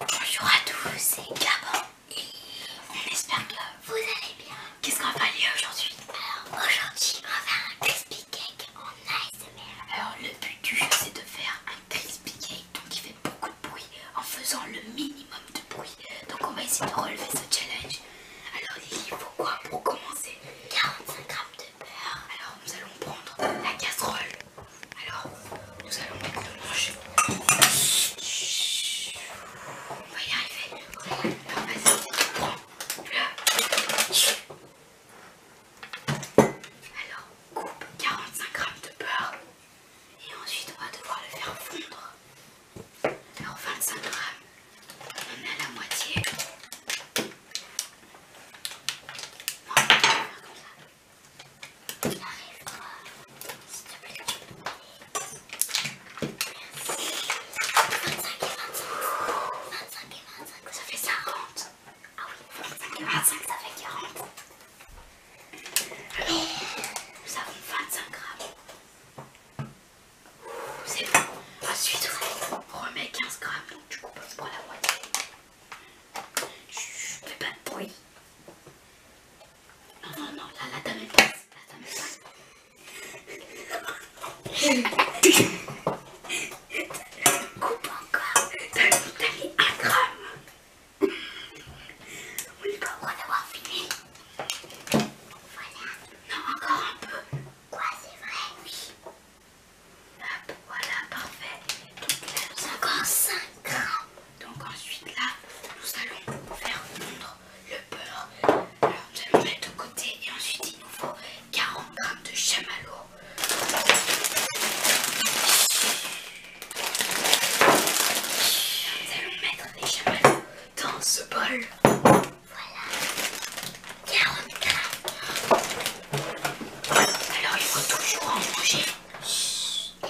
Bonjour à tous, c'est Gabon et on espère que vous allez bien. Qu'est-ce qu'on va faire aujourd'hui Alors aujourd'hui on va faire un crispy cake en ASMR. Alors le but du jeu c'est de faire un crispy cake donc qui fait beaucoup de bruit en faisant le minimum de bruit. Donc on va essayer de relever ce challenge. Alors il faut quoi pour commencer 45 grammes de beurre. Alors nous allons prendre la casserole alors, nous allons mettre le manger. On va y arriver. prend Alors, coupe 45 grammes de beurre et ensuite on va devoir le faire fondre. Alors 25 grammes, on en est à la moitié. on comme ça arrive s'il te plaît. Merci. 25 et 25. 25 et 25, ça fait 50 Ah oui, 25 et 25, ça fait 40. et nous avons 25 grammes. C'est bon. Ensuite, on remet 15 grammes, donc du coup, pour la moitié. Je fais pas de bruit. Non, non, non, là, là, t'as mes pinces. Là, Coupe encore. T'as mis un gramme. On pas au d'avoir fini. Voilà. Non, encore un peu. Quoi, c'est vrai Oui. voilà, parfait. encore 5 grammes. Donc ensuite là, nous allons faire fondre le beurre. Alors nous allons mettre de côté et ensuite il nous faut 40 grammes de chamallow. Nous allons mettre les chamallows dans ce bol. Voilà. 40 grammes. Alors il faut toujours en manger.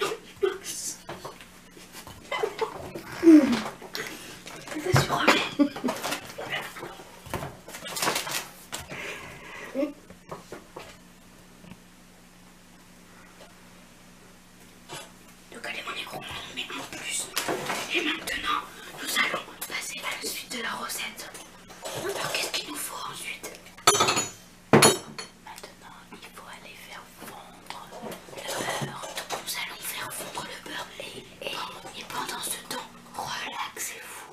Non, il faut que ça. Donc allez mon écran, on met en plus. Et maintenant, nous allons passer à la suite de la recette. Alors qu'est-ce qu'il nous faut ensuite Maintenant, il faut aller faire fondre le beurre. nous allons faire fondre le beurre et pendant ce temps, relaxez-vous.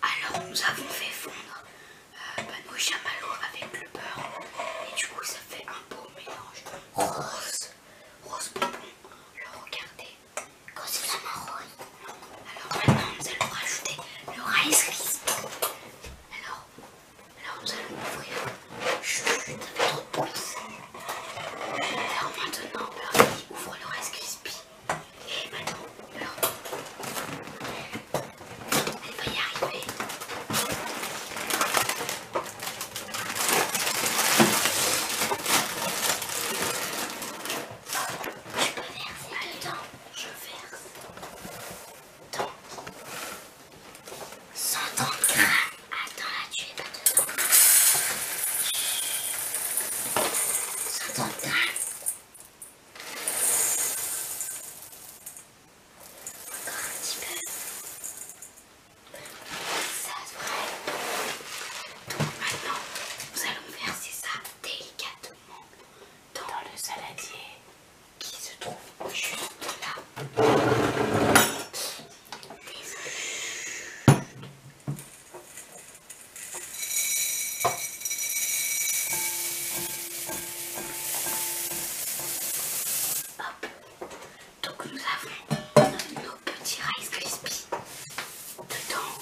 Alors, nous avons fait fondre euh, bah, j'ai mal avec le beurre et du coup ça fait un beau mélange rose, rose bonbon. Alors regardez, quand c'est la marron. Alors maintenant nous allons rajouter le rice crispy Alors, alors nous allons ouvrir. Chut, ça trop de Alors maintenant va ouvre le rice crispy. Et maintenant, alors, elle va y arriver. Tu peux verser dedans. Je verse. Attends, là, tu es pas dedans un petit peu. Ça se Donc maintenant, nous allons verser ça délicatement dans, le saladier qui se trouve juste là. Hop. Donc nous avons nos petits Rice Krispies dedans.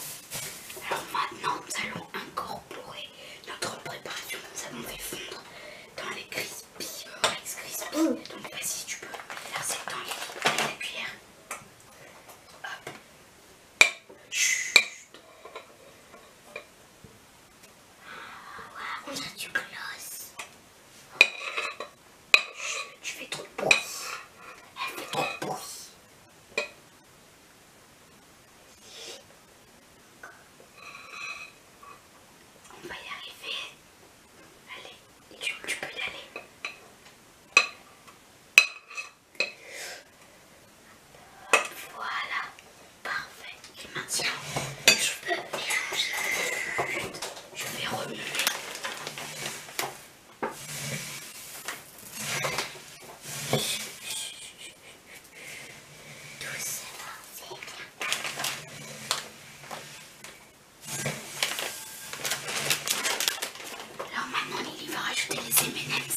Alors maintenant nous allons incorporer notre préparation nous allons les fondre dans les Krispies. Euh, rice Krispies. Mm. Donc vas-y tu peux verser ça dans les cuillères. Hop. Chut. On a du gloss. Tu fais trop de bruit. Elle fait trop de On va y arriver. Allez, tu peux y aller. Voilà, Parfait. Et maintenant, je peux mélanger. Je vais remuer. Doucement, c'est bien. Alors maintenant, Lily va rajouter les M&M's.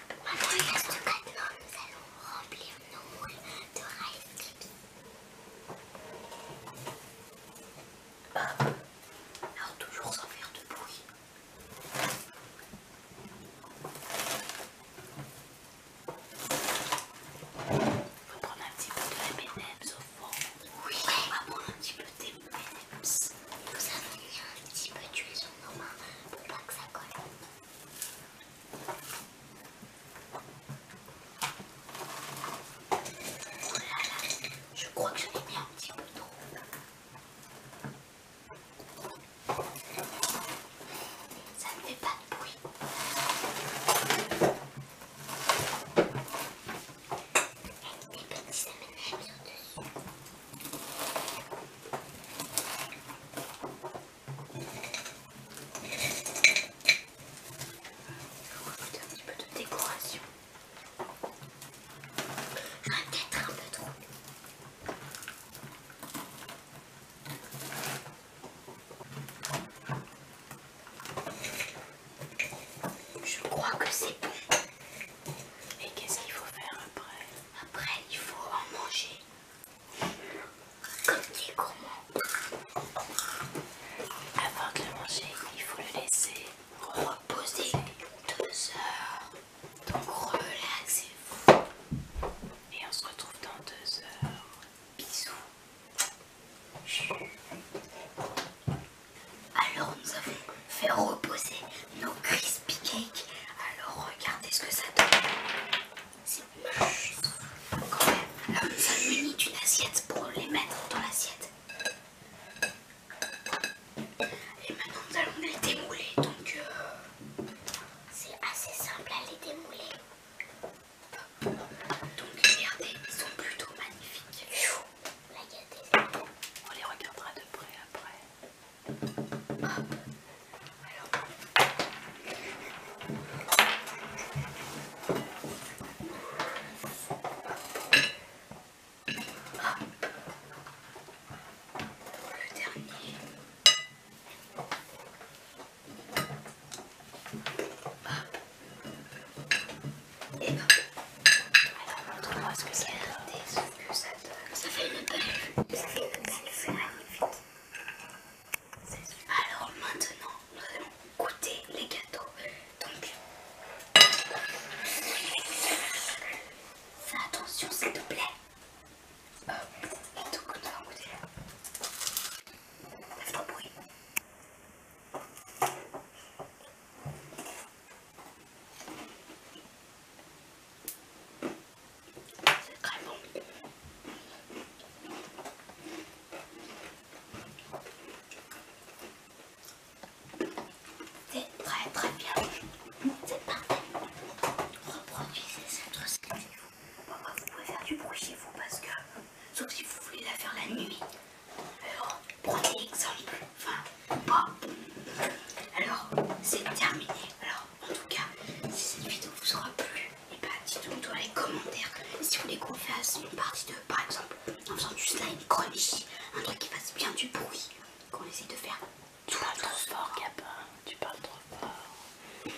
Maintenant, nous allons remplir nos moules de Rice Alors toujours sans faire de bruit. On va prendre un petit peu de M&M's au fond. Oui, on va prendre un petit peu de M&M's. Nous avons mis un petit peu d'huile normal pour pas que ça colle. Oh là là, je crois que je l'ai mis un petit peu trop. Ça ne fait pas de bruit. Il y a des petits aménagements dessus mettre un petit peu de décoration. Peut-être un peu trop. Je crois que c'est bon. Et qu'est-ce qu'il faut faire après Après, il faut en manger. Comme il gourmand, avant de le manger, il faut le laisser reposer deux heures. Donc relaxez-vous. Et on se retrouve dans deux heures. Bisous. Alors nous avons fait reposer nos crispy cakes. Alors regardez ce que ça donne. C'est ah. quand même. Alors nous munis d'une assiette pour les mettre dans l'assiette. Et maintenant nous allons les démouler. Donc euh, c'est assez simple à les démouler. Donc regardez, ils sont plutôt magnifiques. On les regardera de près après hop hop le dernier est-ce que c'est que ça, ça fait une belle. Alors maintenant, nous allons goûter les gâteaux. Donc, fais attention s'il te plaît. Hop, et donc nous allons goûter. Ça fait trop bruit. C'est très bon. C'est très très bien. C'est parfait. Reproduisez cette recette vous. vous pouvez faire du bruit chez vous parce que, sauf si vous voulez la faire la nuit. Alors, prenez exemple. Enfin, pas. Alors, c'est terminé. Alors, en tout cas, si cette vidéo vous aura plu, et eh pas ben, dites-nous dans les commentaires si vous voulez qu'on fasse une partie de, par exemple en faisant du slime chronique, un truc qui fasse bien du bruit, qu'on essaie de faire tout le trop fort Gabin, tu parles trop fort.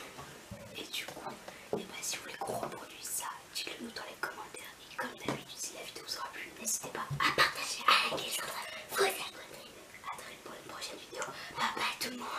Et du coup, eh ben, si vous voulez qu'on reproduise ça, dites-le nous dans les commentaires. Et comme d'habitude, si la vidéo vous aura plu, n'hésitez pas à partager à liker, à Vous abonner à très vite pour une prochaine vidéo. Bye bye tout le monde.